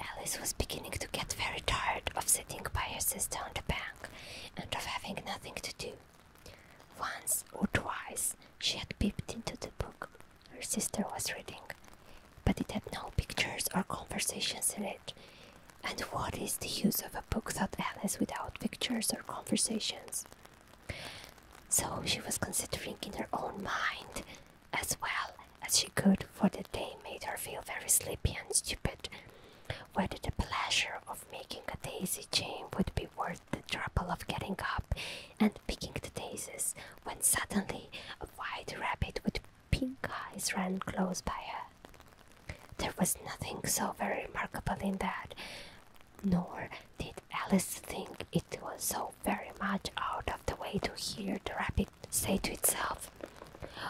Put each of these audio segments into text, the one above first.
Alice was beginning to get very tired of sitting by her sister on the bank and of having nothing to do. Once or twice she had peeped into the book her sister was reading, but it had no pictures or conversations in it. And what is the use of a book, thought Alice, without pictures or conversations? So she was considering in her own mind as well as she could, for the day made her feel very sleepy and stupid. Whether the pleasure of making a daisy chain would be worth the trouble of getting up and picking the daisies, when suddenly a white rabbit with pink eyes ran close by her. There was nothing so very remarkable in that, nor did Alice think it was so very much out of the way to hear the rabbit say to itself.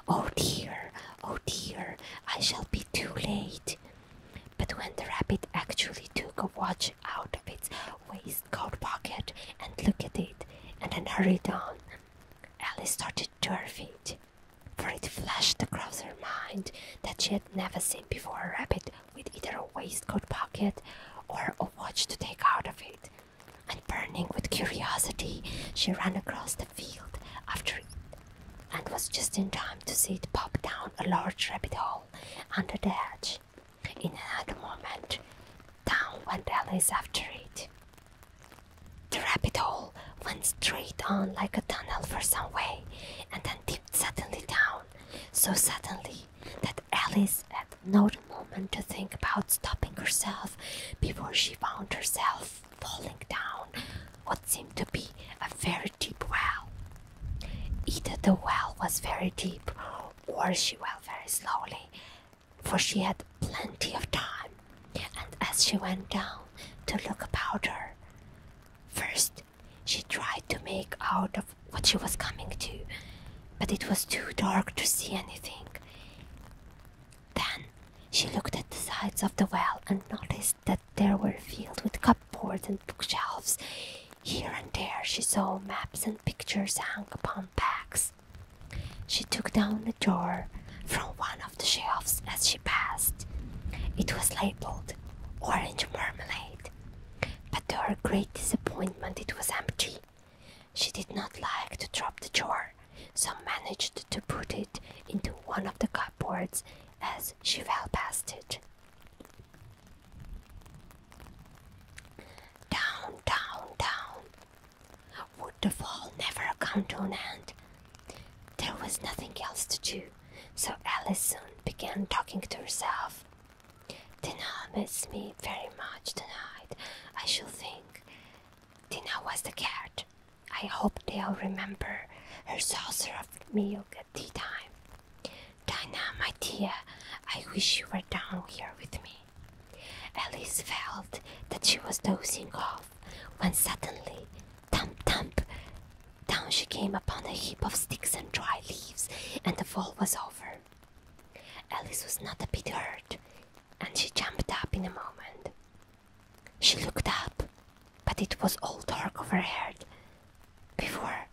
Oh dear, oh dear, I shall be too late. But when the rabbit actually took a watch out of its waistcoat pocket and looked at it, and then hurried on, Alice started to her feet, for it flashed across her mind that she had never seen before a rabbit with either a waistcoat pocket or a watch to take out of it and burning with curiosity, she ran across the field after it and was just in time to see it pop down a large rabbit hole under the hedge. In another moment, down went Alice after it. The rabbit hole went straight on like a tunnel for some way and then dipped suddenly down, so suddenly that Alice had no moment to think about stopping herself before she found herself falling down what seemed to be a very deep well. Either the well was very deep or she fell very slowly, for she had plenty of time. And as she went down to look about her, first she tried to make out of what she was coming to, but it was too dark to see anything. Then she looked at the sides of the well and noticed that they were filled with cupboards and bookshelves. Here and there she saw maps and pictures hung upon pegs. She took down a jar from one of the shelves as she passed. It was labeled Orange Marmalade, but to her great disappointment it was empty. She did not like to drop the jar, so managed to put it into one of the cupboards as she fell past it. Down, down, down. Would the fall never come to an end? There was nothing else to do, so Alice began talking to herself. Dina misses me very much tonight, I should think. Dina was the cat. I hope they'll remember her saucer of milk at tea time. Dina, my dear, I wish you were down here with me. Alice felt that she was dozing off when suddenly, thump thump, down she came upon a heap of sticks and dry leaves, and the fall was over. Alice was not a bit hurt, and she jumped up in a moment. She looked up, but it was all dark overhead. Before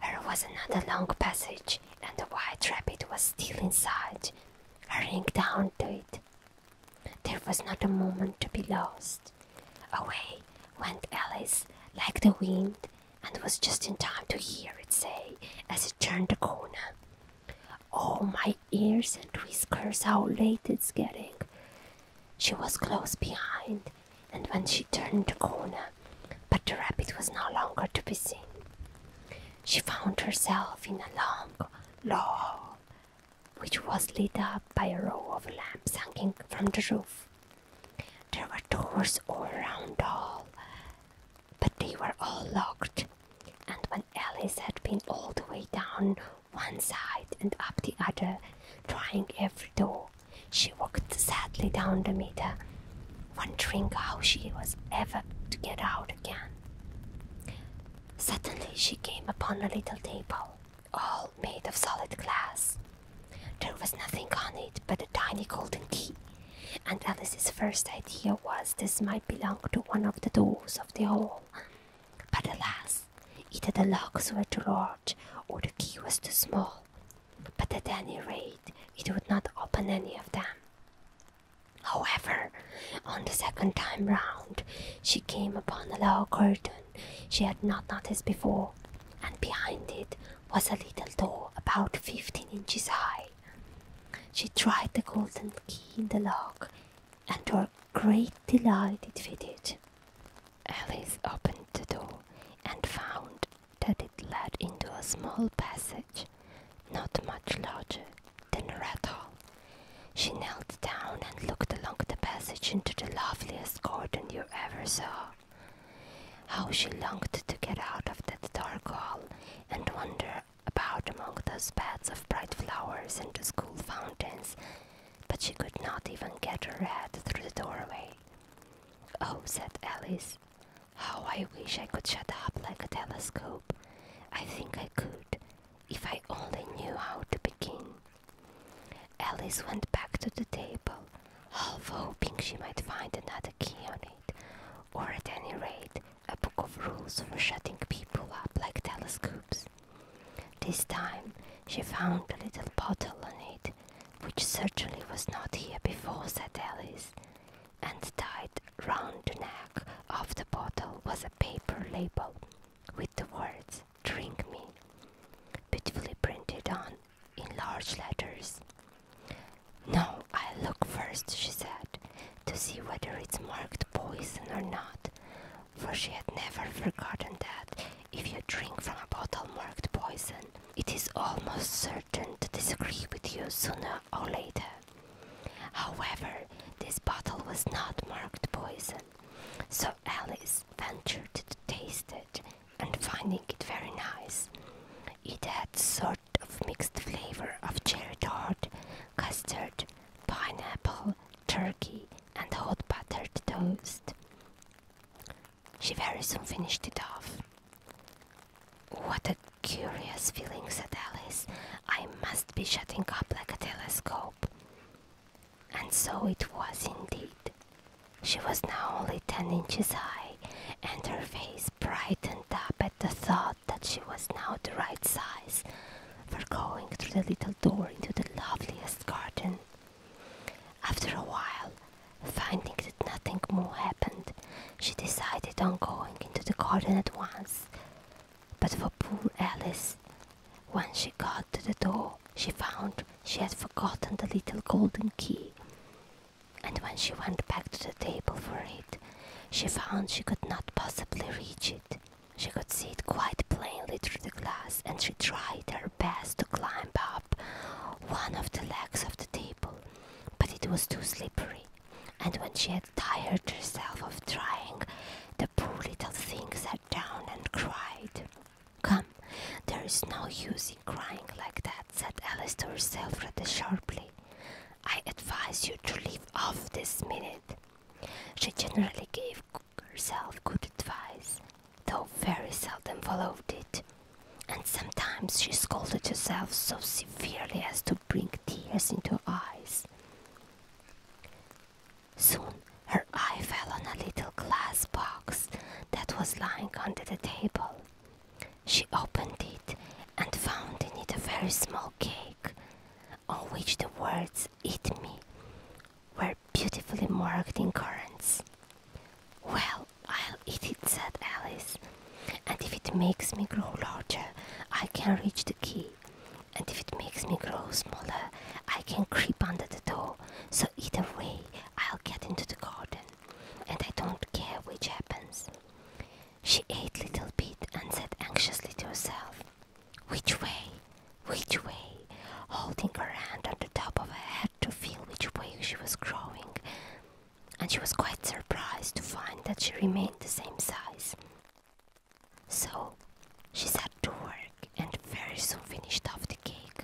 there was another long passage, and the white rabbit was still inside, hurrying down to it. There was not a moment to be lost. Away went Alice like the wind, and was just in time to hear it say, as it turned the corner, Oh, my ears and whiskers, how late it's getting! She was close behind, and when she turned the corner, but the rabbit was no longer to be seen. She found herself in a long, low hall, which was lit up by a row of lamps hanging from the roof. There were doors all round the hall, but they were all locked. And when Alice had been all the way down one side and up the other, trying every door, she walked sadly down the meter, wondering how she was ever to get out again. Suddenly, she came upon a little table, all made of solid glass. There was nothing on it but a tiny golden key and Alice's first idea was this might belong to one of the doors of the hall. But alas, either the locks were too large or the key was too small. But at any rate, it would not open any of them. However, on the second time round, she came upon a low curtain she had not noticed before, and behind it was a little door about fifteen inches high. She tried the golden key in the lock, and to her great delight it fitted. Alice opened the door and found that it led into a small passage, not much larger than a rat hole. She knelt down and looked along the passage into the loveliest garden you ever saw. How she longed to get out of that dark hall and wander about among those beds of bright flowers and the school fountains, but she could not even get her head through the doorway. Oh, said Alice, how I wish I could shut up like a telescope. I think I could, if I only knew how to begin. Alice went back to the table, half hoping she might find another a key on it, or at any rate, a book of rules for shutting people up like telescopes. This time she found a little bottle on it, which certainly was not here before, said Alice, and tied round the neck of the bottle was a paper label with the words Drink Me, beautifully printed on in large letters. No, I'll look first, she said, to see whether it's marked poison or not, for she had never forgotten that if you drink from a bottle marked poison, it is almost certain to disagree with you sooner or later. However, this bottle was not marked poison, so Alice ventured to taste it and finding it very nice. It had sort of mixed flavor of cherry tart, custard, pineapple, turkey, and hot buttered toast. She very soon finished it off. What a curious feeling, said Alice. I must be shutting up like a telescope. And so it was indeed. She was now only ten inches high and her face brightened up at the thought that she was now the right size for going through the little door into the loveliest garden. After a while, finding that nothing more happened, she decided on going into the garden at once. But for poor Alice, when she got to the door, she found she had forgotten the little golden key and when she went back to the table for it, she found she could not possibly reach it. She could see it quite plainly through the glass, and she tried her best to climb up one of the legs of the table, but it was too slippery. And when she had tired herself of trying, the poor little thing sat down and cried. Come, there is no use in crying like that, said Alice to herself rather sharply. I advise you to leave off this minute. She generally gave herself good advice, though very seldom followed it, and sometimes she scolded herself so severely as to bring tears into her eyes. Soon her eye fell on a little glass box that was lying under the table. She opened it and found in it a very small cake, on which the words "Eat me" were beautifully marked in currants. Well, I'll eat it, said Alice, and if it makes me grow larger, I can reach the key, and if it makes me grow smaller, I can creep under the door. So either way, I'll get into the garden, and I don't care which happens. She ate little bit and said anxiously to herself, Which way? Which way? Holding her hand on the top of her head to feel which way she was growing. And she was quite surprised to find that she remained the same size. So she set to work and very soon finished off the cake.